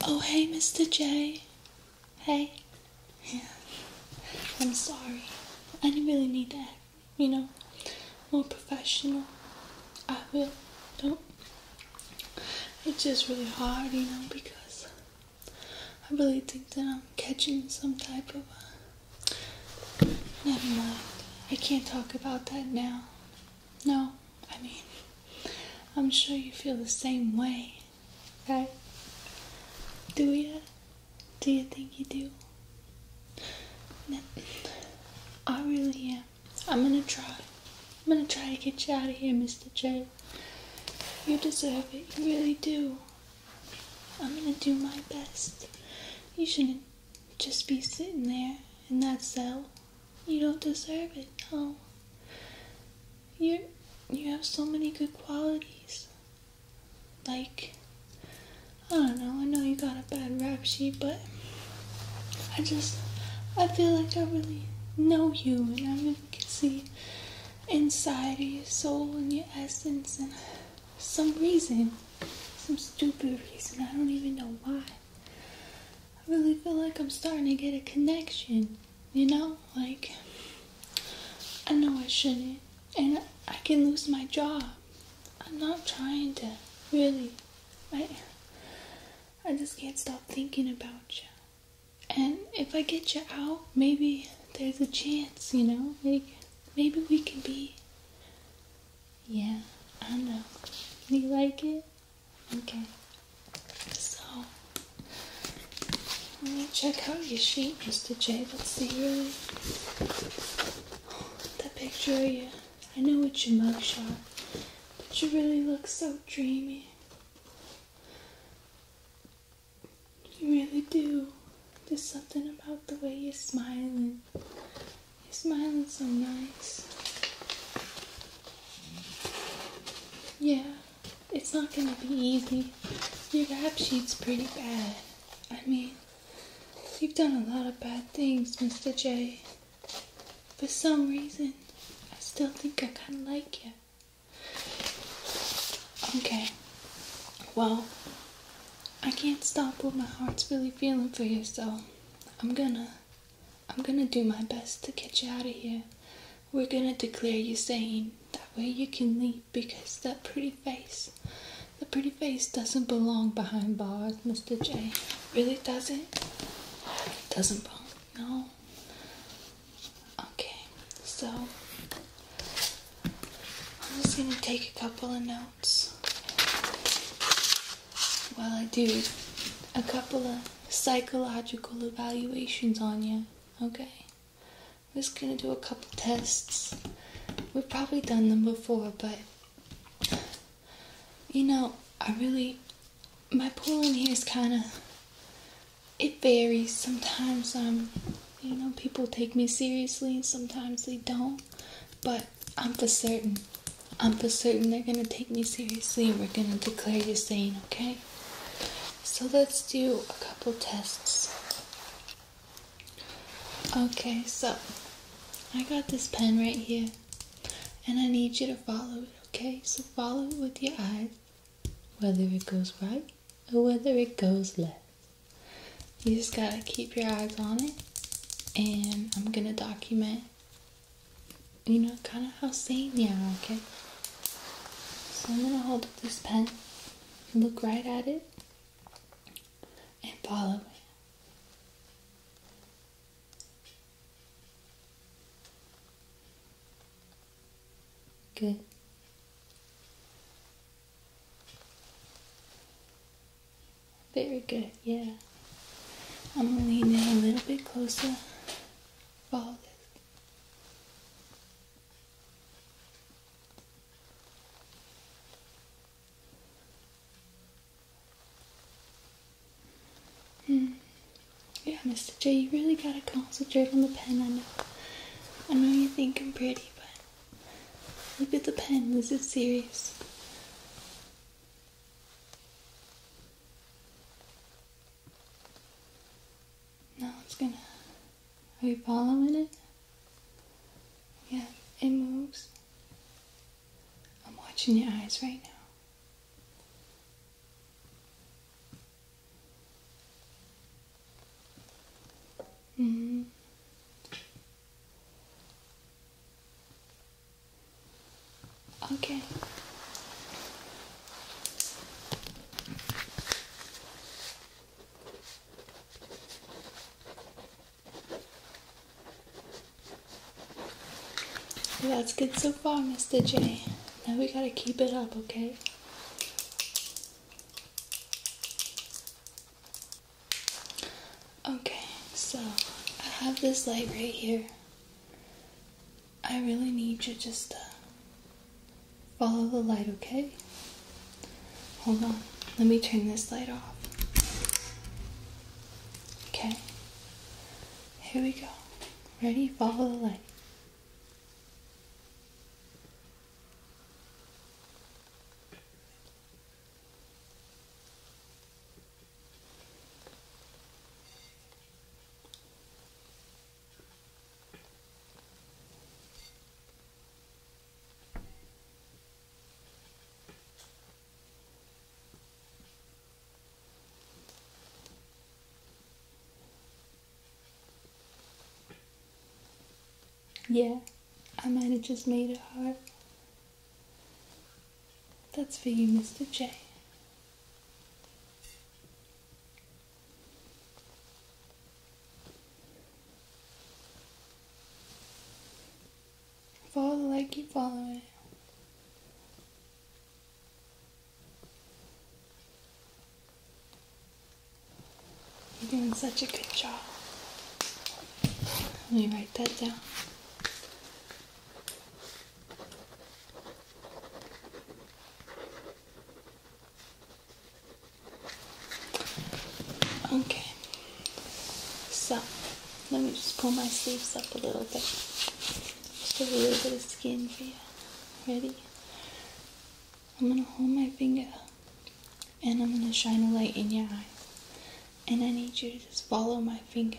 Oh, hey, Mr. J. Hey. Yeah. I'm sorry. I didn't really need that. You know, more professional. I will. Don't. It's just really hard, you know, because I really think that I'm catching some type of. Uh, never mind. I can't talk about that now. No, I mean, I'm sure you feel the same way, right? Do you? Do you think you do? I really am. I'm gonna try. I'm gonna try to get you out of here, Mr. J. You deserve it. You really do. I'm gonna do my best. You shouldn't just be sitting there in that cell you don't deserve it, no. You you have so many good qualities. Like I don't know, I know you got a bad rap sheet, but I just I feel like I really know you and I can see inside of your soul and your essence and some reason, some stupid reason, I don't even know why. I really feel like I'm starting to get a connection, you know? Like, I know I shouldn't, and I can lose my job. I'm not trying to, really. I, I just can't stop thinking about you. And if I get you out, maybe there's a chance, you know? Like, maybe we can be. Yeah, I know. You like it? Okay, so let me check out your sheet, Mr. J. Let's see really that picture of you. I know it's your mugshot, but you really look so dreamy. You really do. There's something about the way you're smiling. You're smiling so nice. Yeah, it's not gonna be easy. Your rap sheet's pretty bad. I mean, you've done a lot of bad things, Mr. J. For some reason, I still think I kinda like you. Okay, well, I can't stop what my heart's really feeling for you, so I'm gonna I'm gonna do my best to get you out of here. We're gonna declare you sane. That way you can leave because that pretty face, the pretty face doesn't belong behind bars, Mr. J. Really doesn't? Doesn't belong. No. Okay, so I'm just gonna take a couple of notes. While I do a couple of psychological evaluations on you, okay? I'm just gonna do a couple tests. We've probably done them before, but you know, I really my pool in here is kind of it varies. Sometimes um, you know, people take me seriously, sometimes they don't. But I'm for certain I'm for certain they're gonna take me seriously and we're gonna declare you sane, okay? So let's do a couple tests. Okay, so I got this pen right here and I need you to follow it, okay? So follow it with your eyes, whether it goes right or whether it goes left. You just gotta keep your eyes on it and I'm gonna document you know, kind of how sane you are, okay? So I'm gonna hold up this pen, look right at it, and follow it. Good. Very good, yeah. I'm leaning a little bit closer. Hmm. Yeah, Mr. J, you really gotta concentrate on the pen. I know. I know you think I'm pretty, but look at the pen. This is serious. No, it's gonna. Are you following it? Yeah, it moves. I'm watching your eyes right now. Mm -hmm. Okay. That's good so far, Mr. J. Now we gotta keep it up, okay? Okay, so I have this light right here. I really need you just to follow the light, okay? Hold on, let me turn this light off. Okay, here we go. Ready? Follow the light. Yeah, I might have just made it hard. That's for you, Mr. J. Follow the light, keep it. You're doing such a good job. Let me write that down. Okay, so let me just pull my sleeves up a little bit. Just a little bit of skin for you. Ready? I'm gonna hold my finger and I'm gonna shine a light in your eyes. And I need you to just follow my finger.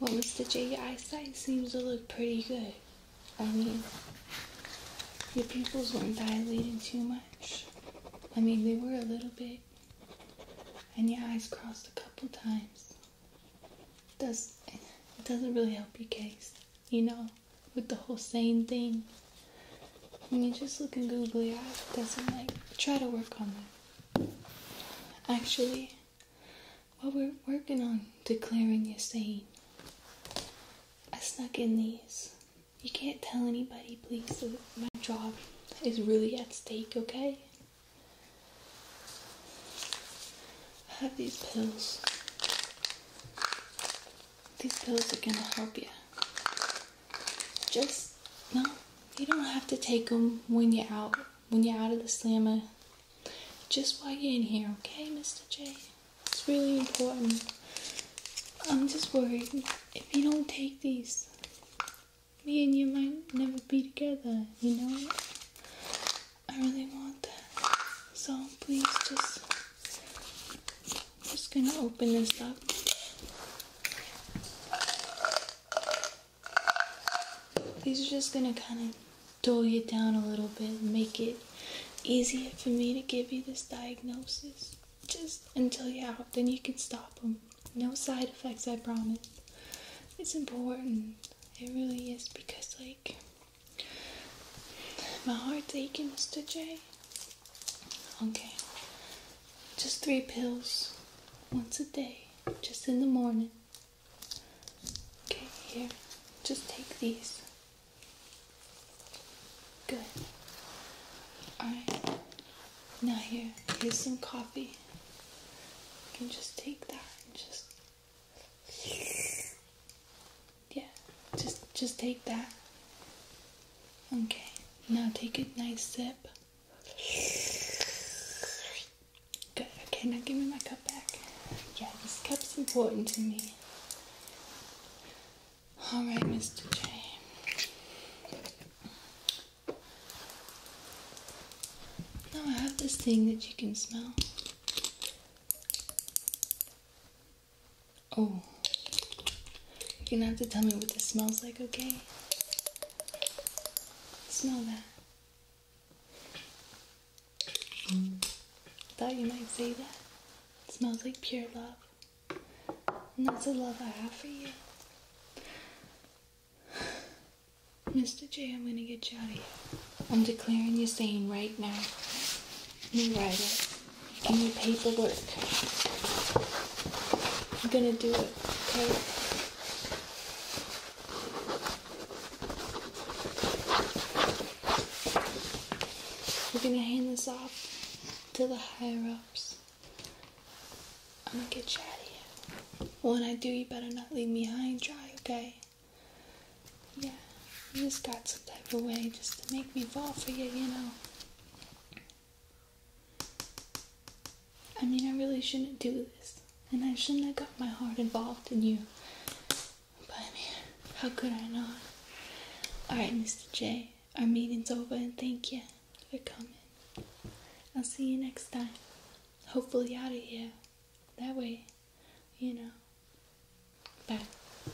Well, Mr. J, your eyesight seems to look pretty good. I mean, your pupils weren't dilating too much. I mean, they were a little bit. And your eyes crossed a couple times. Does, it doesn't really help your case. You know, with the whole sane thing. When you're just looking googly eyed, it doesn't like try to work on that. Actually, while we're working on declaring is sane, I snuck in these. You can't tell anybody, please. My job is really at stake, okay? I have these pills. These pills are going to help you. Just, no, you don't have to take them when you're out, when you're out of the slammer. Just while you're in here, okay, Mr. J? It's really important. I'm just worried. If you don't take these, me and you might never be together, you know? I really want that. So please just I'm just gonna open this up. These are just gonna kind of dull you down a little bit, make it easier for me to give you this diagnosis. Just until you're out, then you can stop them. No side effects, I promise. It's important. It really is because, like, my heart's aching, Mr. J. Okay. Just three pills once a day, just in the morning. Okay, here. Just take these. Good. Alright. Now here, here's some coffee. You can just take that and just yeah, just just take that. Okay, now take a nice sip. Good. Okay, now give me my cup back. Yeah, this cup's important to me. All right, Mr. J. Now I have this thing that you can smell. Oh, you're gonna have to tell me what this smells like, okay? Smell that. Mm. Thought you might say that. smells like pure love. And that's the love I have for you. Mr. J, I'm gonna get you out of here. I'm declaring you sane right now. You write it any paperwork. I'm gonna do it, okay? We're gonna hand this off to the higher ups. I'm gonna get you out here. When I do, you better not leave me high and dry, okay? Yeah. You just got some type of way just to make me fall for you, you know. I mean, I really shouldn't do this, and I shouldn't have got my heart involved in you. But I mean, how could I not? Alright, Mr. J, our meeting's over, and thank you for coming. I'll see you next time. Hopefully, out of here. That way, you know. Bye.